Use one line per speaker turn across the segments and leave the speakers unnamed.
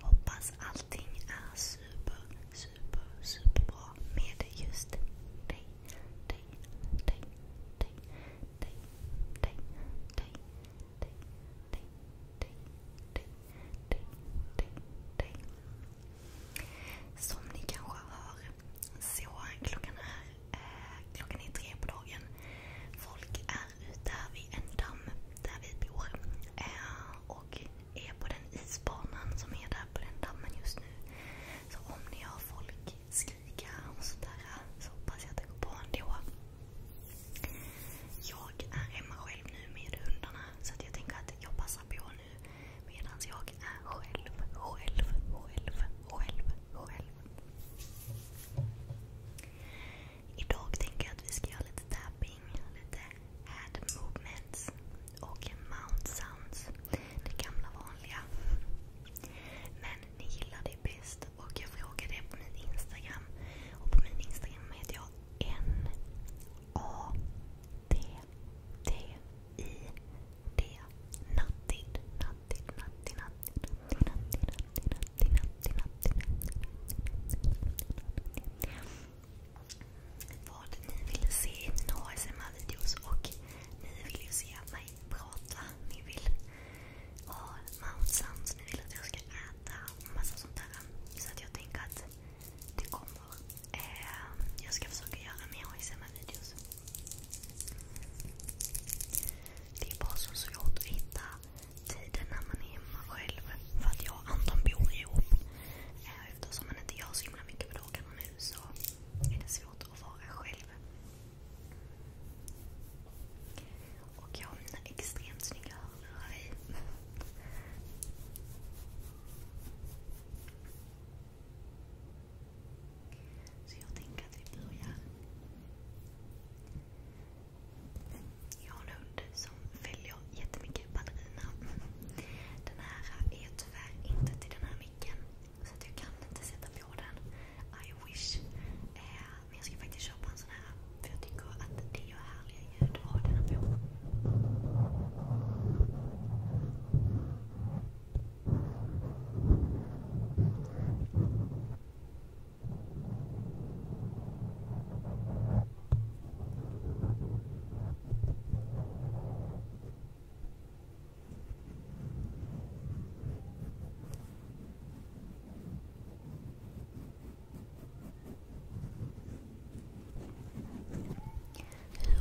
Hoppas allting är super, super, super med just dig, dig, dig, dig, dig, Som ni kanske hör så klockan är tre på dagen. Folk är ute vid en damm där vi bor. Eh, och är på den isbanan som är där på den dammen just nu. Så om ni har folk skrika och sådär så hoppas jag att det går bra ändå. Jag är hemma själv nu med hundarna så att jag tänker att jag passar på nu medan jag är själv, själv, själv, själv, själv. Idag tänker jag att vi ska göra lite tapping, lite head movements och mount sounds. Det gamla vanliga. Men ni gillar det bäst och jag frågade er på min Instagram. Och på min Instagram heter jag N-A-T-T-I-D. Nattid. Nattid, nattid, vad ni ville se i mina ASMR-videos och ni vill ju se mig prata. Ni vill ha mount sounds, ni vill att jag ska äta och massa sånt där. Så att jag tänker att det kommer. Ehm, jag ska försöka göra mer ASMR-videos. Det är bara så svårt att hitta tiden när man är hemma själv. För att jag och Anton bor ihop. Eh, eftersom man inte gör så himla mycket på dagarna nu så är det svårt att vara själv. Och jag har mina extremt snygga hörlurar i. Så jag tänker att vi börjar. Jag har en hund som följer jättemycket ballerina. Den här är tyvärr inte till den här micken. Så att jag kan inte sätta på den. I wish. Eh, men jag ska faktiskt köpa en sån här. För jag tycker att det gör härliga ljud att ha den på. Hur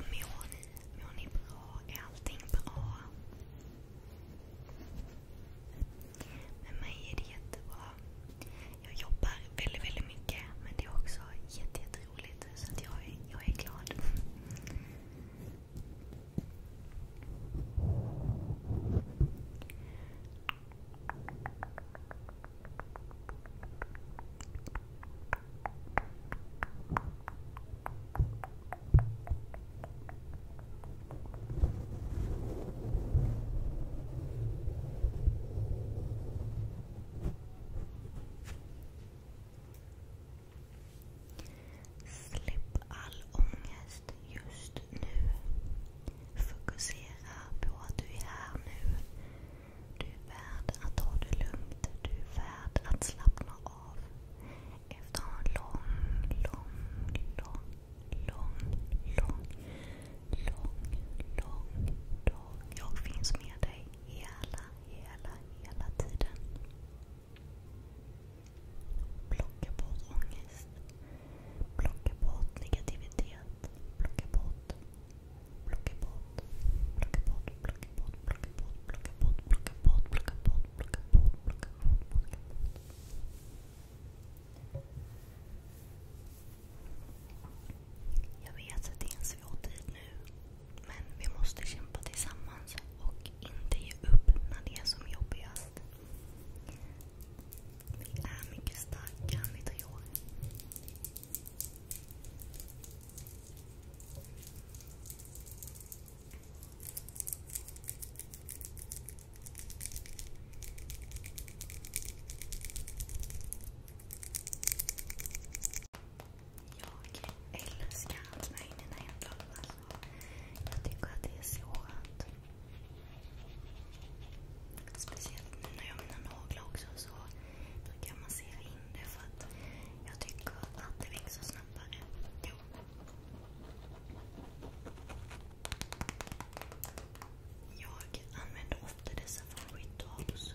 mår ni? Mår ni bra? Är allting bra? Men mig är det jättebra. Jag jobbar väldigt, väldigt mycket men det är också jätteroligt jätte så att jag, är, jag är glad. Släpp all ångest just nu. Fokusera på att du är här nu. Du är värd att ta det lugnt. Du är värd att slappna av. Efter en lång, lång, lång lång, lång, lång, lång dag. Jag finns med dig hela, hela, hela tiden. Plocka bort ångest. Plocka bort negativitet. Plocka bort. Plocka bort. Plocka bort. Plocka bort. Plocka bort. Plocka bort. Plocka bort. Plocka bort. Plocka bort. Plocka bort. Plocka bort. Jag vet att det är en svår tid nu. Men vi måste kämpa tillsammans och inte ge upp när det är som jobbigast. Vi är mycket starka om vi tror. Jag älskar att vara inne i mina hemblad. Alltså, jag tycker att det är så skönt. Speciellt nu när jag har mina naglar också så brukar jag massera in det för att jag tycker att det växer snabbare då. Jag använder ofta dessa från Rituals.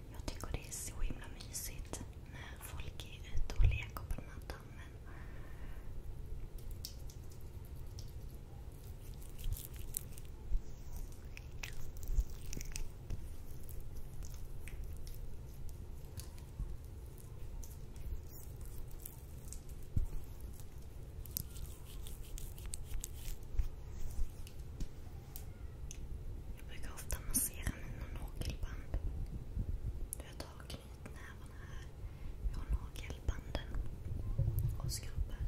Jag tycker det är så himla mysigt när folk är ute och leker på den här dammen. Jag brukar ofta massera mina nagelband. Jag tar knytnävarna här. Jag har nagelbanden och skrubbar.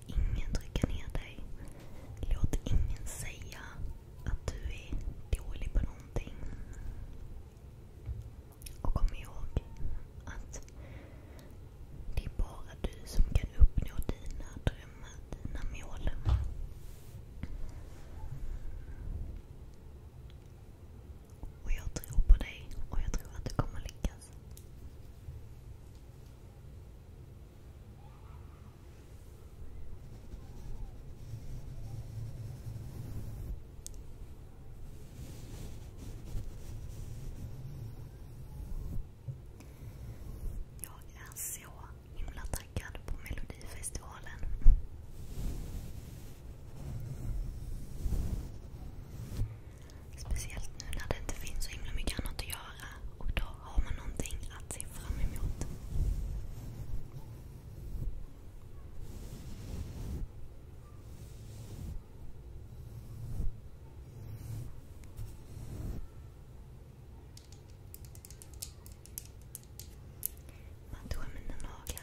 Låt ingen trycka ner dig. Låt ingen säga att du är dålig på någonting. Och kom ihåg att det är bara du som kan uppnå dina drömmar, dina mål. Och jag tror på dig och jag tror att du kommer lyckas. Jag är så himla taggad på Melodifestivalen. Speciellt nu när det inte finns så himla mycket annat att göra göra och då har man någonting att se fram emot. Man tog mina naglar.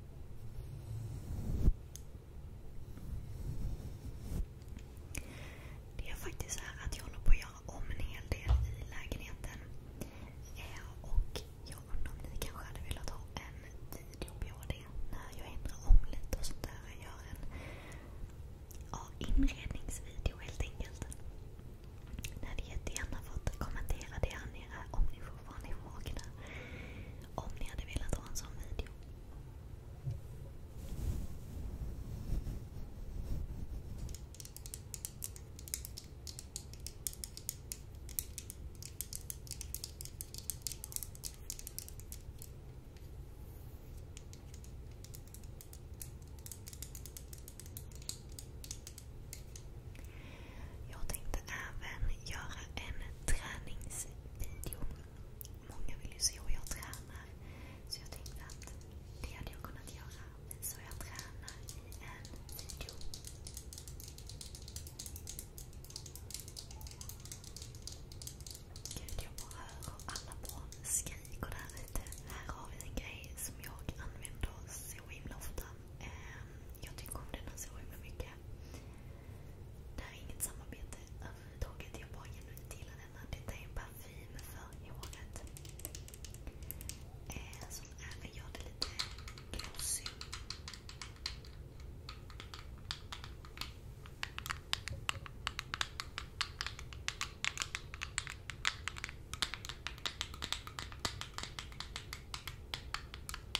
Det är faktiskt så här att jag håller på att göra om en hel del i lägenheten. Eh, och jag undrar om ni kanske hade velat ha en video på det när jag ändrar om lite och sånt där. en inredningsvideo helt enkelt. Ni hade jättegärna fått kommentera det här funderingar om ni fortfarande är vakna. Om ni hade velat ha en sån video. Jag tänkte även göra en träningsvideo. Många vill ju se hur jag tränar. Så jag tänkte att det hade jag kunnat göra. Visa hur jag tränar i en video. Gud, jag bara hör hur alla barn skriker där ute. Här har vi en grej som jag använder så himla ofta. Eh, jag tycker om den så himla mycket. Det här är inget samarbete överhuvudtaget. Jag bara genuint gillar denna. Detta är en parfym för håret. Eh, som även gör det lite glossy.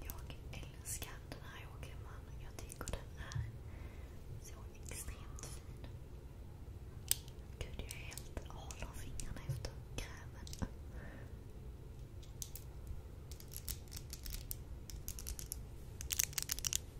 Jag älskar den här åkerman. Jag tycker den är så extremt fin. Gud, jag är helt hal om fingrarna efter krämen.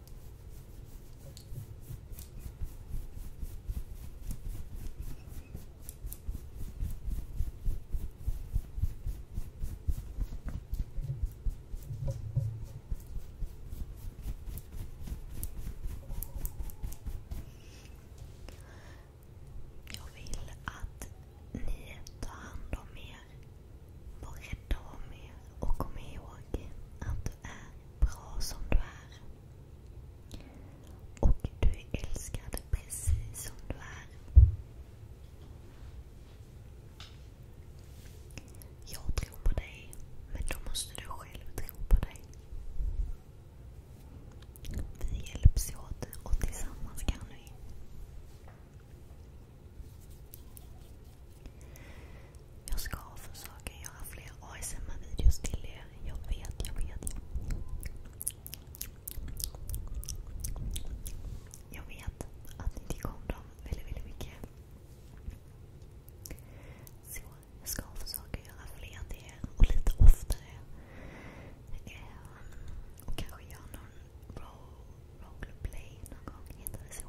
Jag vill att ni tar hand om er. Var rädda om er och kom ihåg att du är bra som du är. Och du är älskad precis som du är. Jag tror på dig, men då måste du själv tro på dig. Vi hjälps åt och tillsammans kan vi. Jag ska försöka göra fler ASMR-videos till er. Jag vet, jag vet. Jag vet att ni tycker om dem väldigt, väldigt mycket. Så jag ska försöka göra fler till er och lite oftare. Ehm, och kanske göra någon roll, roleplay någon gång, heter det så?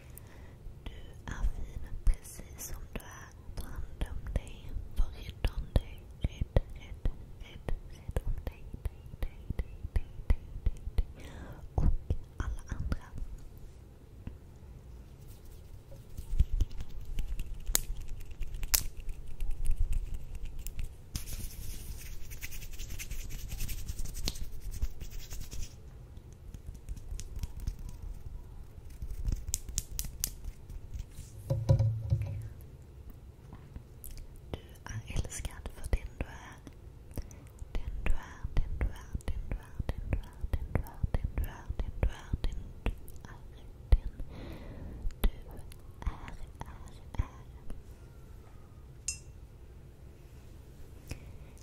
Du är fin precis som du är. Ta hand om dig. Var rädd om dig. Rädd, rädd, rädd, rädd om dig, dig, dig, dig, dig, dig, dig, dig. Och alla andra. Du är älskad för den du är. Den du är, den du är, den du är, den du är, den du är, den du är, den du är, den du är, den du är, är, är.